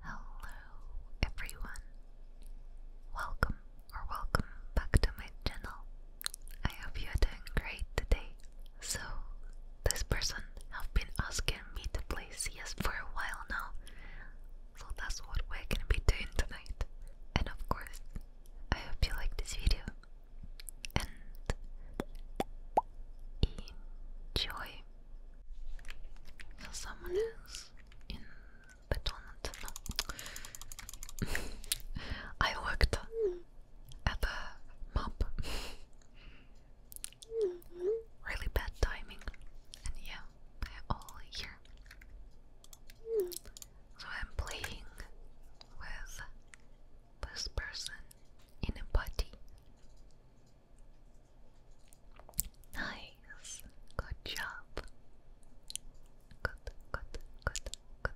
Hello everyone. Welcome or welcome back to my channel. I hope you're doing great today. So, this person have been asking me to play CS for a while now. So that's what we're gonna be doing tonight. And of course, I hope you like this video. And enjoy. Yeah, someone is in Betonland. No. I worked at the map. really bad timing. And yeah, they're all here. So I'm playing with this person in a party. Nice. Good job. Good, good, good, good,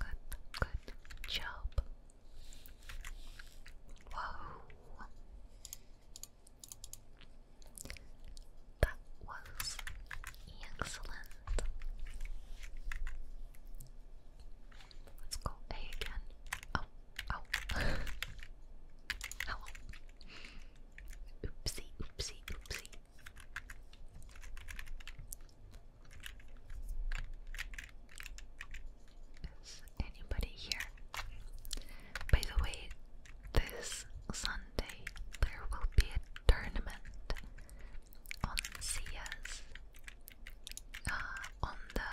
good, good job. Whoa. That was excellent. Let's go again. Oh. Oh. Hello. Oopsie, oopsie, oopsie. Is anybody here? By the way, this Sunday there will be a tournament on CS. Uh, on the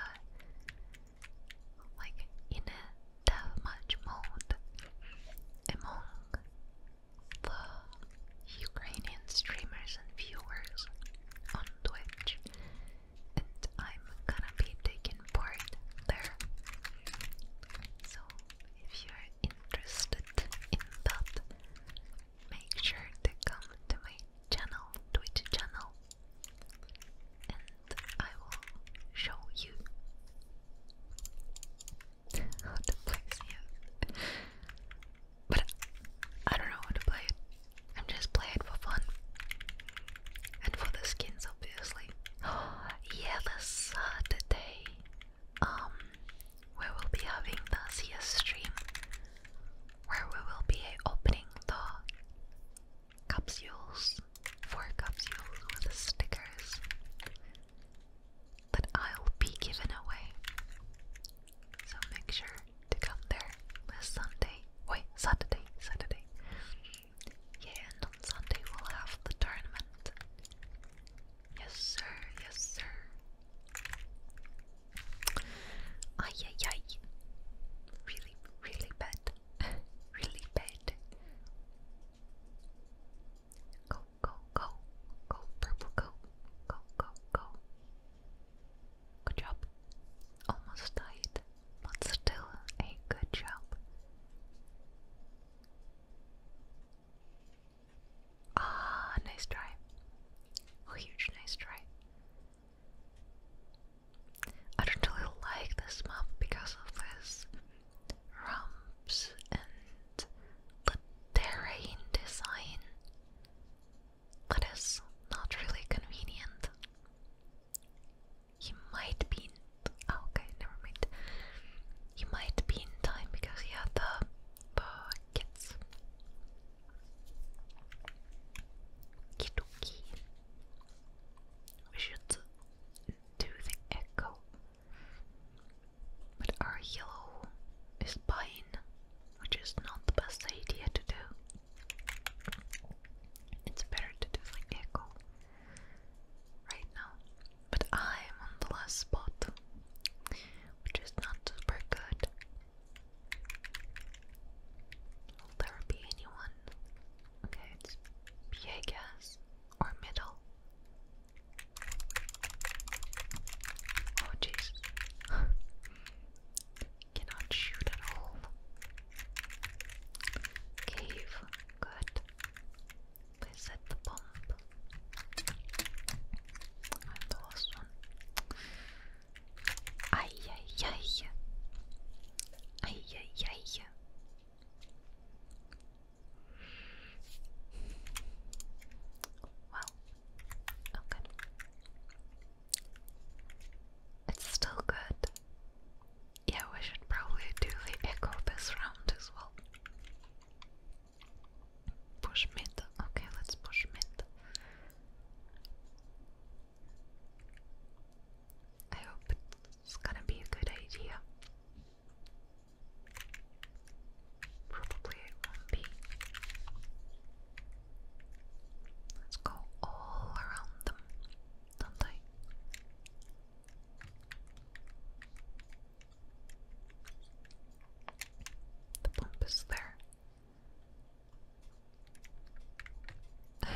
like in a deathmatch mode among the Ukrainian streamers and viewers on Twitch, and I'm gonna be taking part there. So if you're interested in that, make sure to come to my channel, Twitch channel, and I will show you how to play CS. But I don't know how to play it. I'm just playing for fun. And for the skins obviously. yeah, this Saturday. Um we will be having the CS stream where we will be opening the capsules, four capsules with stickers that I'll be giving away. So make sure to come there this Sunday. Wait, Saturday, Saturday. Yeah, and on Sunday we'll have the tournament. Yes, sir, yes, sir. Ay, ay, ay. Really, really bad. really bad. Go, go, go. Go, purple, go. Go, go, go. Good job. Almost died, but still a good job. Ah, nice try. A huge nice try. I don't really like this map because of this ramps and the terrain design that is not really convenient. He might be in oh, okay, never mind. He might be in time because he had the buckets. Kidoki. We should do the echo. But our yellow is pine, which is not the best idea to do. It's better to do the echo right now. But I'm on the last spot, which is not super good. Will there be anyone? Okay, it's PA gas or middle. Oh jeez. Cannot shoot at all. Cave, good. Please bomb. I'm the last one. Ay ay ay. Ay ay ay. Well, okay. Oh, it's still good. Yeah, we should probably do the echo this round as well. Push mid. Okay, let's push mid. I hope it's gonna be a good idea. Probably it won't be. Let's go all around them, don't I? The pump is there they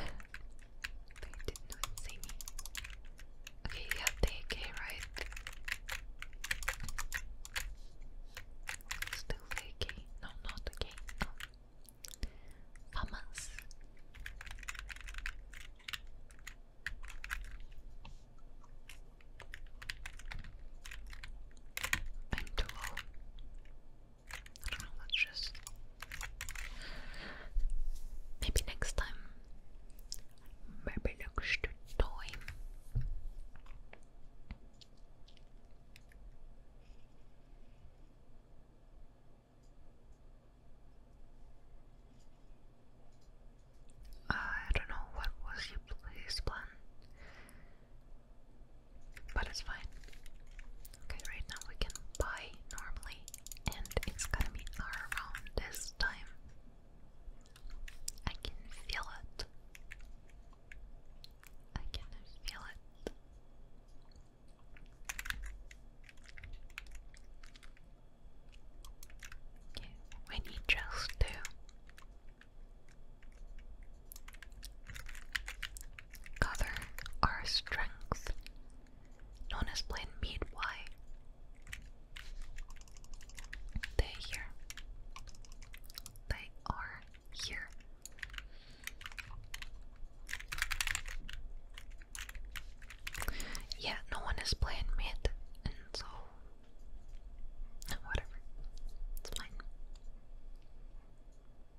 did not see me. Okay, yeah, okay, right? Still okay? No, not okay. Um, Vamos. I don't know, let's just. Maybe next time. Maybe next time. I don't know what was his plan, but it's fine. Okay, right now we can buy normally, and it's gonna be around this time. I can feel it. I can feel it. we need just to cover our strength known as plain meat. Why? They here. They are here. Yeah, no one is playing mid, and so whatever. It's fine.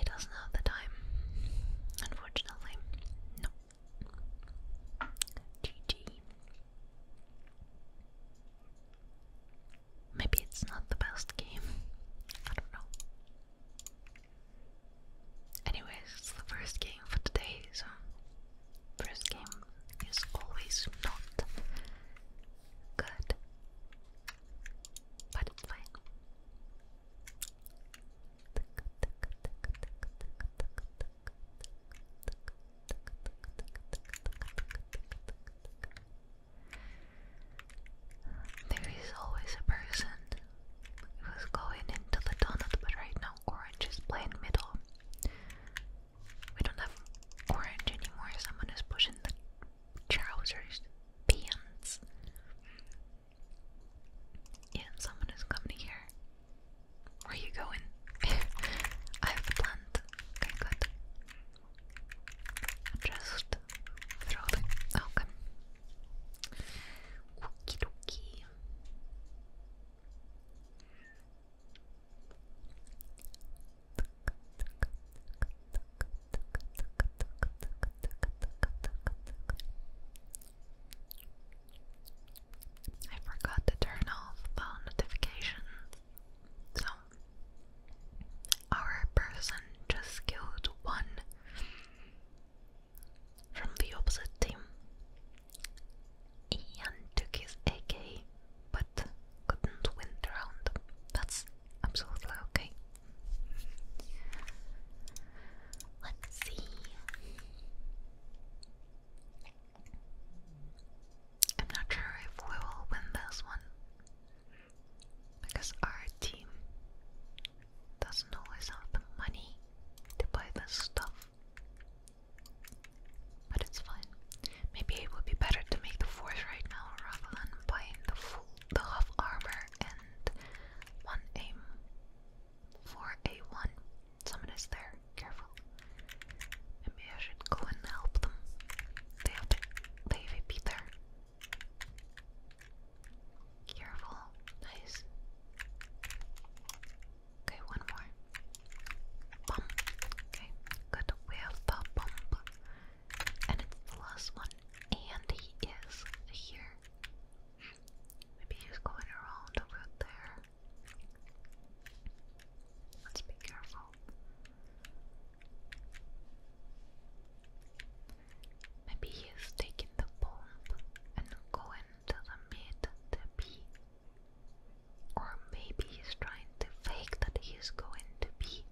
It doesn't have the time, unfortunately. No. GG. Maybe it's not the best game. I don't know. Anyways, it's the first game for today, first game is always not good. But it's fine. There is always a person who's going into the donut, but right now orange is playing middle. We don't have orange anymore, someone is pushing the trousers, pants. Yeah, someone is coming here. Where are you going? I have a plant. good. Just throw them. Okay. I forgot to turn off the notifications, so our person just killed one from the opposite team. Ian took his AK but couldn't win the round. That's absolutely okay. Let's see. I'm not sure if we will win this one because our team doesn't always have the money to buy this stuff. But it's fine. Maybe it would be better to make the force right now rather than buying the full the half armor and one aim for a one. Someone is there. Careful. And maybe I should go and help them. They have to, there. Careful. Nice. Okay, one more. Bump. Okay, good. We have the And it's the last one. And he is here. Maybe he's going around over there. Let's be careful. Maybe he's taking the bomb and going to the mid to B. Or maybe he's trying to fake that he's going to B.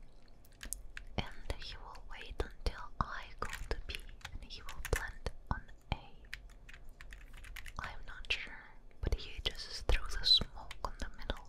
And he will wait until I go to B and he will plant on A. I'm not sure, but he just threw the smoke on the middle.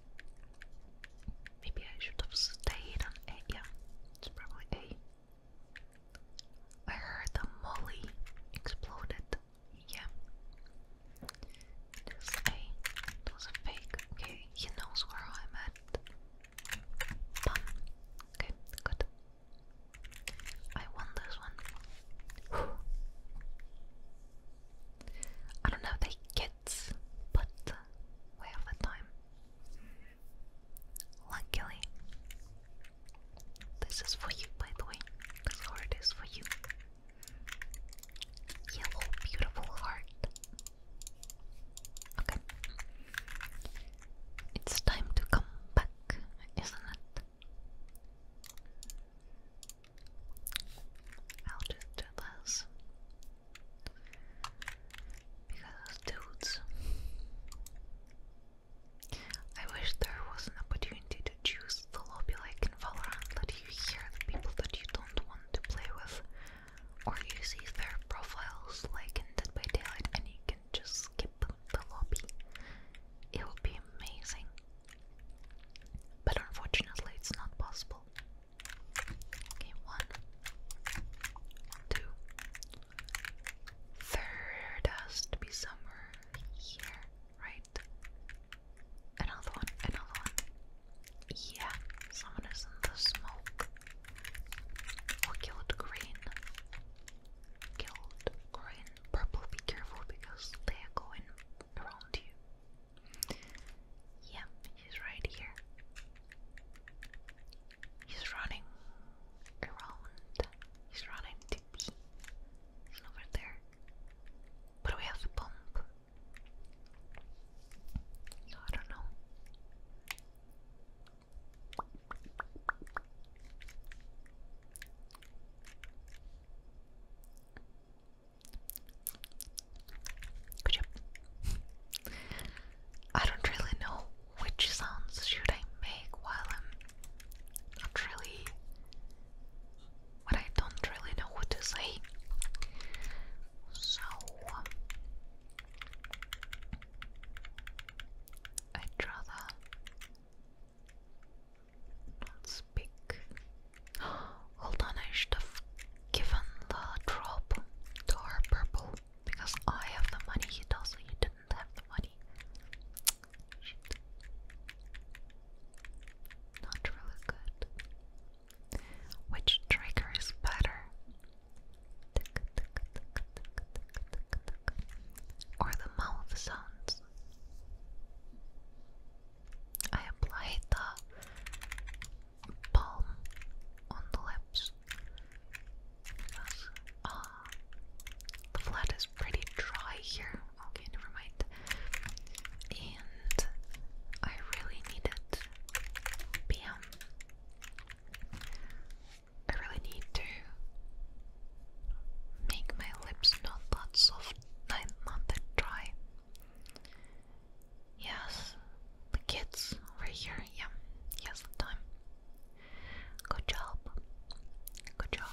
Maybe I should have stayed Yeah, it's probably A. I heard the molly exploded. Yeah. This A. It was a fake. Okay, he knows where I'm at. Okay, good. I won this one. I don't know they can but we have the time. Luckily, this is for you, by the way. This heart is for you. Yellow, beautiful heart. Okay. It's time to come back, isn't it? I'll just do this. Because dudes. I wish there was an opportunity to choose the lobby like in Valorant that you hear the people that you don't want to play with, or you see their profiles like in Dead by Daylight and you can just skip the lobby. It would be amazing. But unfortunately, it's not possible one, two. has to be somewhere here, right? Another one, another one. Yeah, someone is in the smoke. Oh, killed green. Killed green. Purple, be careful because they are going around you. Yeah, He's right here. He's running around. He's running to me. over there. But we have a pump. I don't know. Good job. I don't really know which sounds should I make while I'm not really but I don't really know what to say. So I'd rather speak. Hold on, I should given the drop to because I have the money, he does, he didn't have the money. Not really good. Which trigger is better? Or the mouth sounds? I applied the palm on the lips because uh, the flat is pretty dry here. Okay, never mind. And I really need it. I really need to make my lips not that soft, not that dry. Yes, the kids over here. Yeah, yes, the time. Good job. Good job.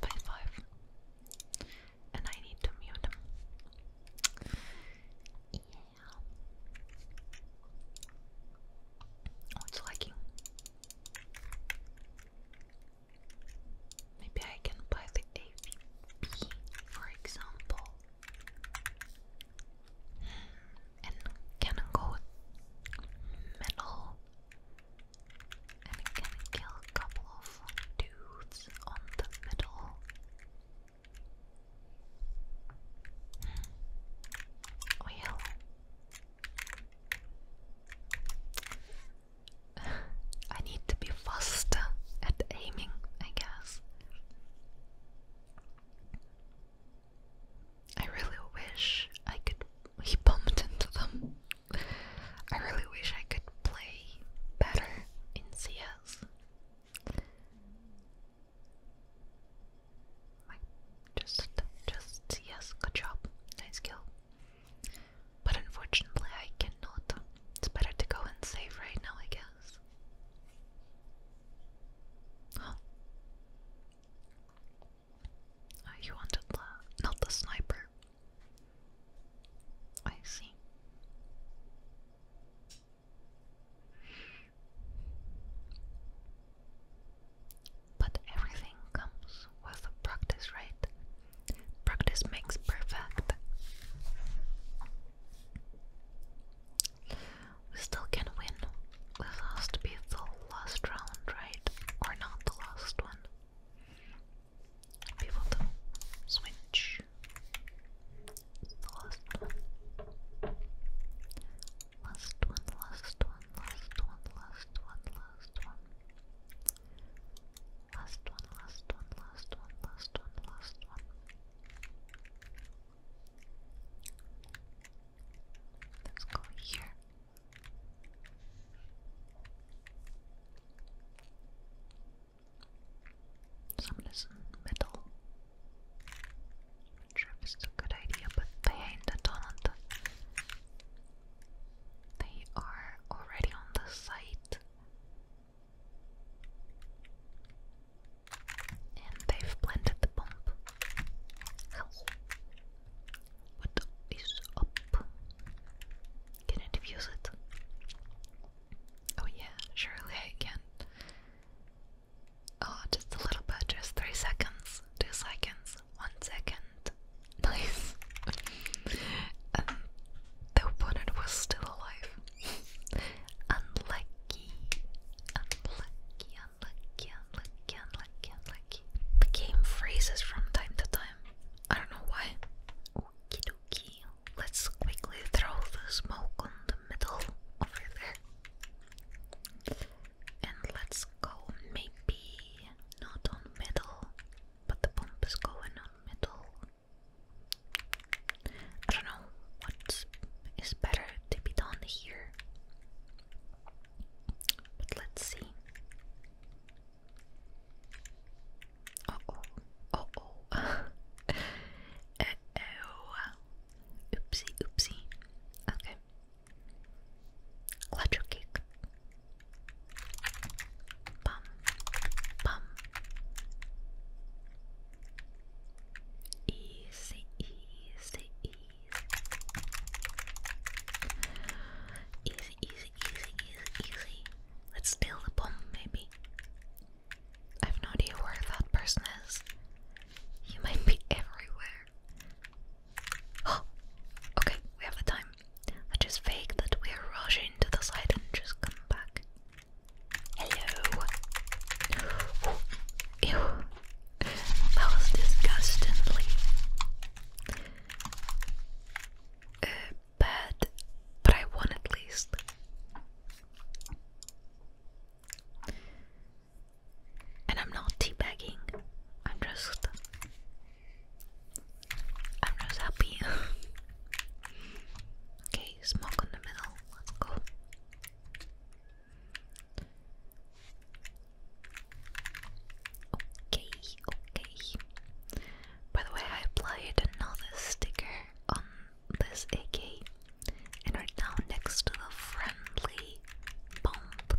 Five five. And I need to mute him. Yeah. Oh, it's Maybe I can buy the AVP, for example and can go metal and it can kill a couple of dudes on the middle. Well, I need to be faster at aiming, I guess. I really wish I could. He bumped into them. I really wish I could play better in CS. just, just CS, good job, nice kill. But unfortunately, I cannot. It's better to go and save right now, I guess. Oh, you wanted the not the sniper. I see. But everything comes with practice, right? Practice makes perfect. We still can win. This has to be the last round, right? Or not the last one. People do switch. The last one. Last one, last one, last one, last one, last one. Last one, last one, last one, last one, last one. Let's go here. Someone in the middle. Not sure if it's a good idea, but they ain't the They are already on the site. And they've planted the bomb. What is up? Can I defuse it? Oh yeah, surely I can. Oh, just a little bit, just three seconds, two seconds, one second. Nice. Um, the opponent was still alive unlucky, unlucky, unlucky, unlucky, unlucky, unlucky. The game freezes from time to time. I don't know why. Let's quickly throw the smoke on the middle over there. And let's go maybe not on middle, but the pump is going on middle. I don't know what is better to be done here, but let's see. Uh oh, oh, oh, oopsie, oopsie. Okay, Clutcher cake. Bum, bum. Easy, easy, easy. Easy, easy, easy, easy, easy. Let's steal the bomb, maybe. I've no idea where that person is. He might be everywhere. Oh! Okay, we have the time. Let's just fake that we're rushing to the side and just come back. Hello. Ew. That was disgustingly uh, bad, but I won at least. And I'm not teabagging. I'm just. I'm just happy. okay, smoke on the middle. Let's go. Okay, okay. By the way, I applied another sticker on this AK and are now next to the friendly bomb.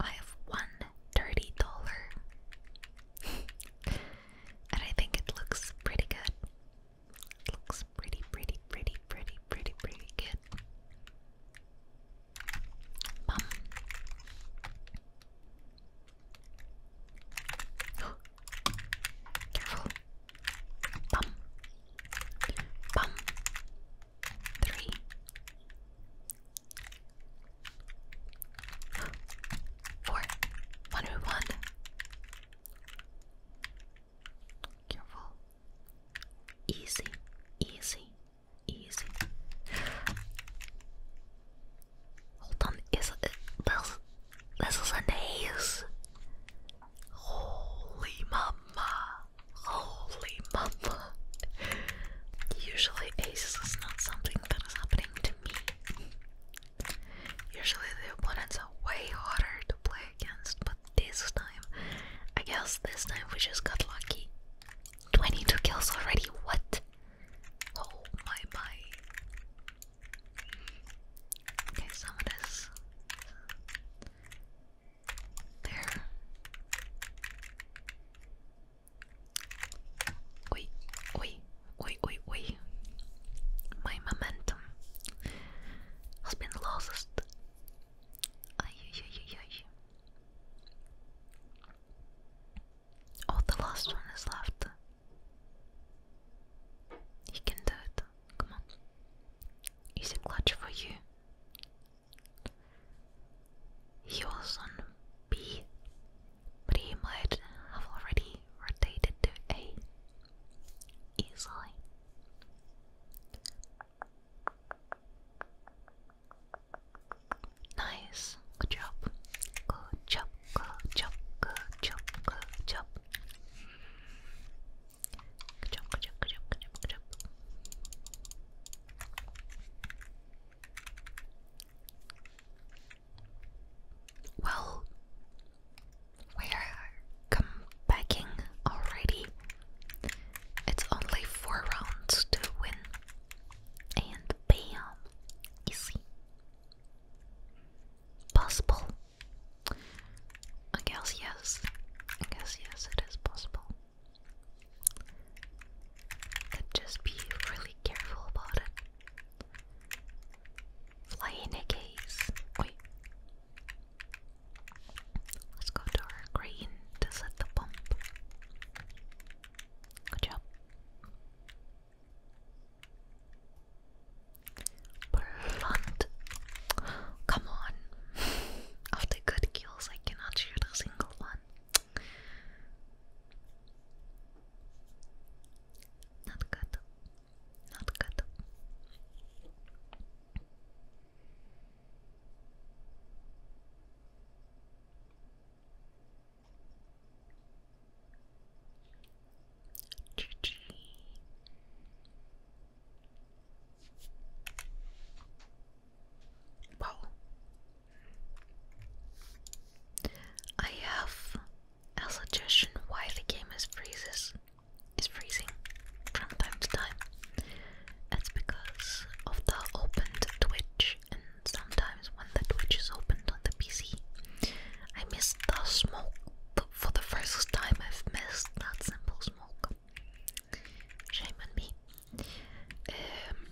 I have one dirty and I think it looks pretty good. It looks pretty, pretty, pretty, pretty, pretty, pretty good. Bum. Careful. Bum. Bum. Three. Four. One, Careful. Easy, easy, easy. Hold on, is this, this is an ace? Holy mama, holy mama. Usually aces is not something that is happening to me. Usually the opponents are way harder to play against, but this time, I guess this time we just got lucky. 22 kills already, what? Oh my my. Okay, someone is there. Wait, wait. Oi, oi, oi. My momentum has been lost. Ay, Oh, the last one is left. You can do it. Come on. Is a clutch for you. You also on B, but he might have already rotated to A easily. Nice. Good job. Good job. Good job. Good job. Good job. Good job. Good job. Good job. Well, we're come already. It's only four rounds to win, and bam, easy. Possible. I guess yes. I guess yes, it is possible. just be really careful about it. Fly in Wait. Let's go to our to set the pump. Good job. Blunt. Come on. Of good kills, I cannot shoot a single one. Not good. Not good. GG. Wow. I have a suggestion why the game is freezes is freezing from time to time. That's because of the opened Twitch, and sometimes when the Twitch is opened on the PC, I miss the smoke. For the first time, I've missed that simple smoke. Shame on me. Um,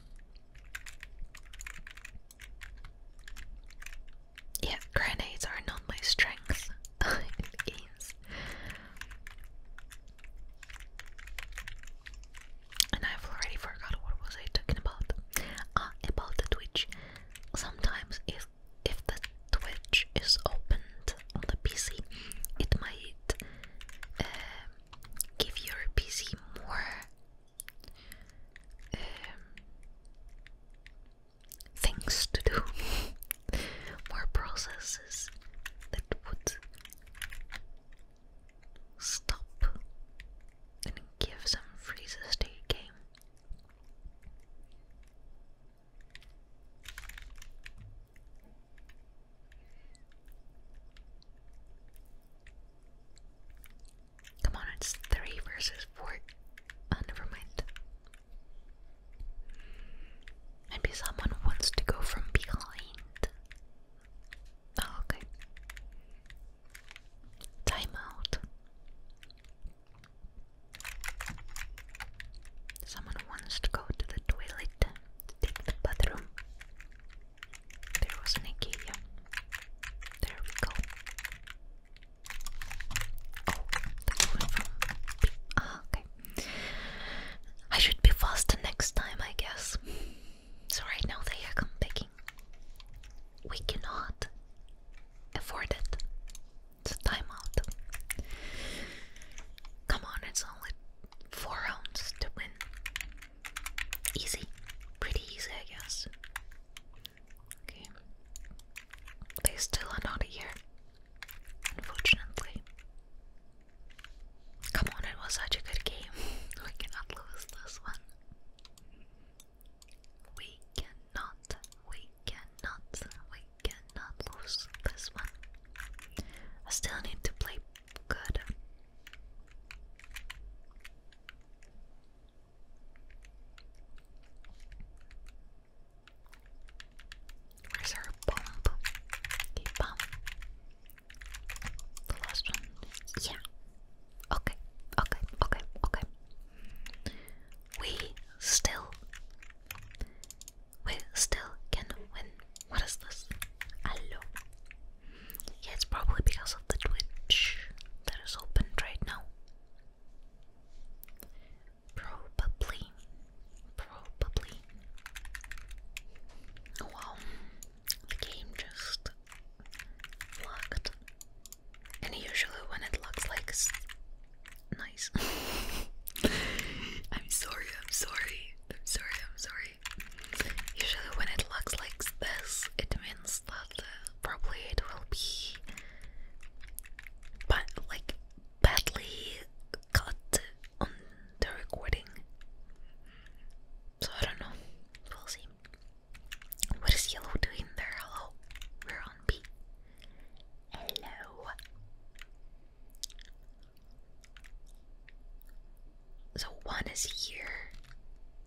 yeah, grenades are not my strength And I've already forgot what was I talking about. Ah, about the Twitch. Sometimes if if the Twitch is opened on the PC, it might um, give your PC more um, things to do, more processes that would stop and give some freezes to your game. Come on, it's three versus four. Oh, never mind. Maybe someone wants to go from behind. Oh, okay. Time Someone wants to go to the toilet take the bathroom. There was an There we go. Oh, that went oh, okay. I should be faster next time, I guess. So right now they are come We cannot afford it. It's a timeout. Come on, it's only four rounds to win. Easy. Pretty easy, I guess. Okay. They still are not here. Unfortunately. Come on, it was such a good game. we cannot lose this one. We cannot, we cannot, we cannot lose this one. I still need to play good. Where's our bump? The last one. Yeah. Okay, okay, okay, okay. We still. We still can win. What is this? Hello. Yeah, it's probably because of the Twitch that is opened right now. Probably. Probably. Wow, the game just locked. And usually, when it locks, like it's nice. I'm sorry, I'm sorry, I'm sorry, I'm sorry. Usually, when it looks like this, it means guess that uh, probably it will be but like badly cut on the recording. So I don't know. We'll see. What is yellow doing there? Hello. We're on B. Hello. So one is here.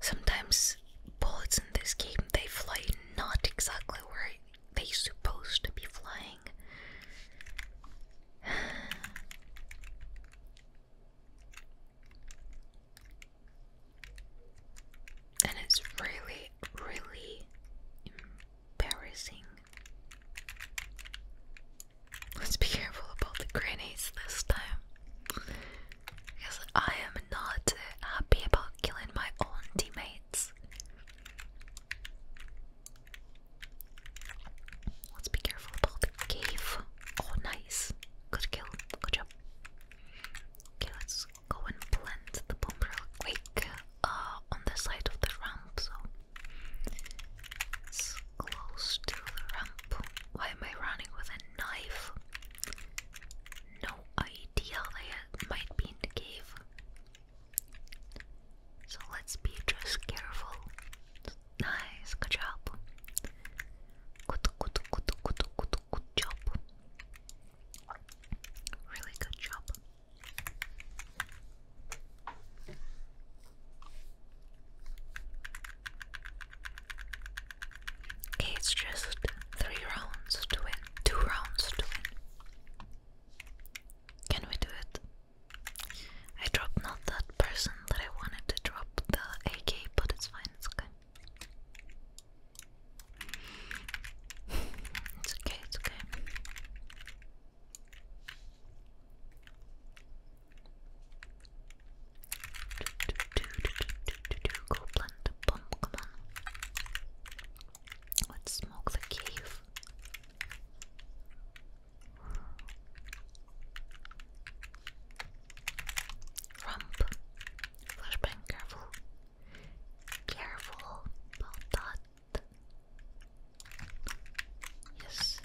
Sometimes bullets in this game they fly not exactly where they supposed to be flying. And it's really really embarrassing. Let's be careful about the grenades this time. Because I am not happy about killing my own teammates. Let's be careful about the cave. Oh, nice. Good kill. Good job. Okay, let's go and plant the bomb quick uh, on the side of the ramp, so close to the ramp. Why am I running with a knife? No idea, they uh, might be in the cave. So let's be just careful. Nice, good job. Good, good, good, good, good, good job. Really good job. Okay, it's just three rounds to win. Two rounds to win. Can we do it? I dropped not that person that I wanted to drop the AK, but it's fine, it's okay. It's okay, it's okay. Do, do, do, do, do, do, do, goblin, the bomb, come on. Let's smoke the cave. Rump. Flashbang, careful. Careful about that. Yes.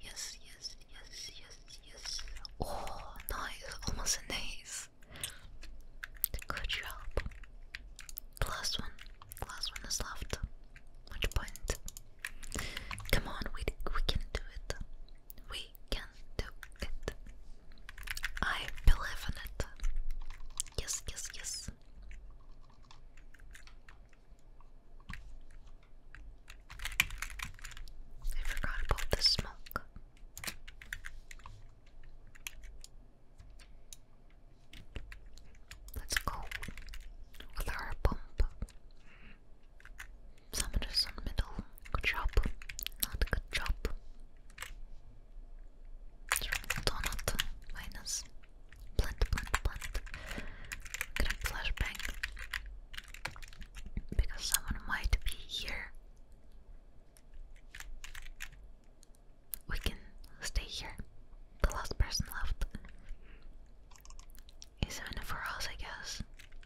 Yes, yes, yes, yes, yes. Oh, nice. Almost an ace. Good job. The last one. The last one is left. Much point. Come on, we, we can do it. We we can do it. I believe in it. Yes, yes, yes. I forgot about the smoke. Let's go with our pump. Summit is in middle. Good job. Not good job. Donut minus plant, plant, plant. going flashbang because someone might be here. We can stay here. The last person left is enough for us, I guess.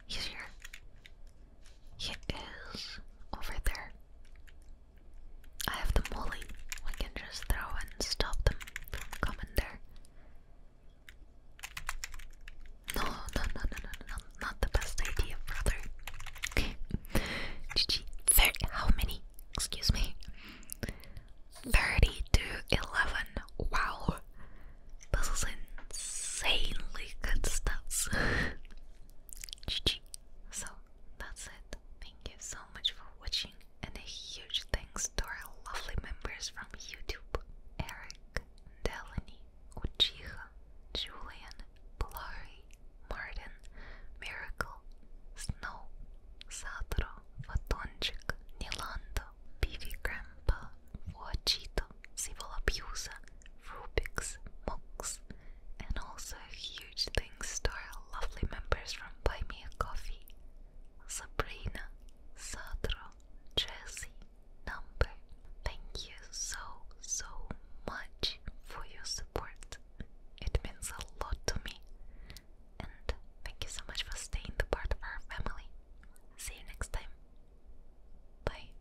He's here. He is over there. I have the molly. We can just throw and stop them from coming there. No, no, no, no, no, no, not the best idea, brother. GG. Thirty. How many? Excuse me. Thirty to eleven. Wow, this is insanely good stats. So that's it. Thank you so much for watching and a huge thanks to our lovely members from YouTube. Eric, Delany, Uchiha, Julian, Blurry, Martin, Miracle, Snow, Satro, Fatonchik, Nilando, Pivi Grandpa, Voachito, Sivolabuse, Rubik's, monks, and also huge thanks to our lovely members from Buy Me a Coffee, Sabrina, Sadro, Jessie, Number. Thank you so, so much for your support. It means a lot to me. And thank you so much for staying the part of our family. See you next time. Bye.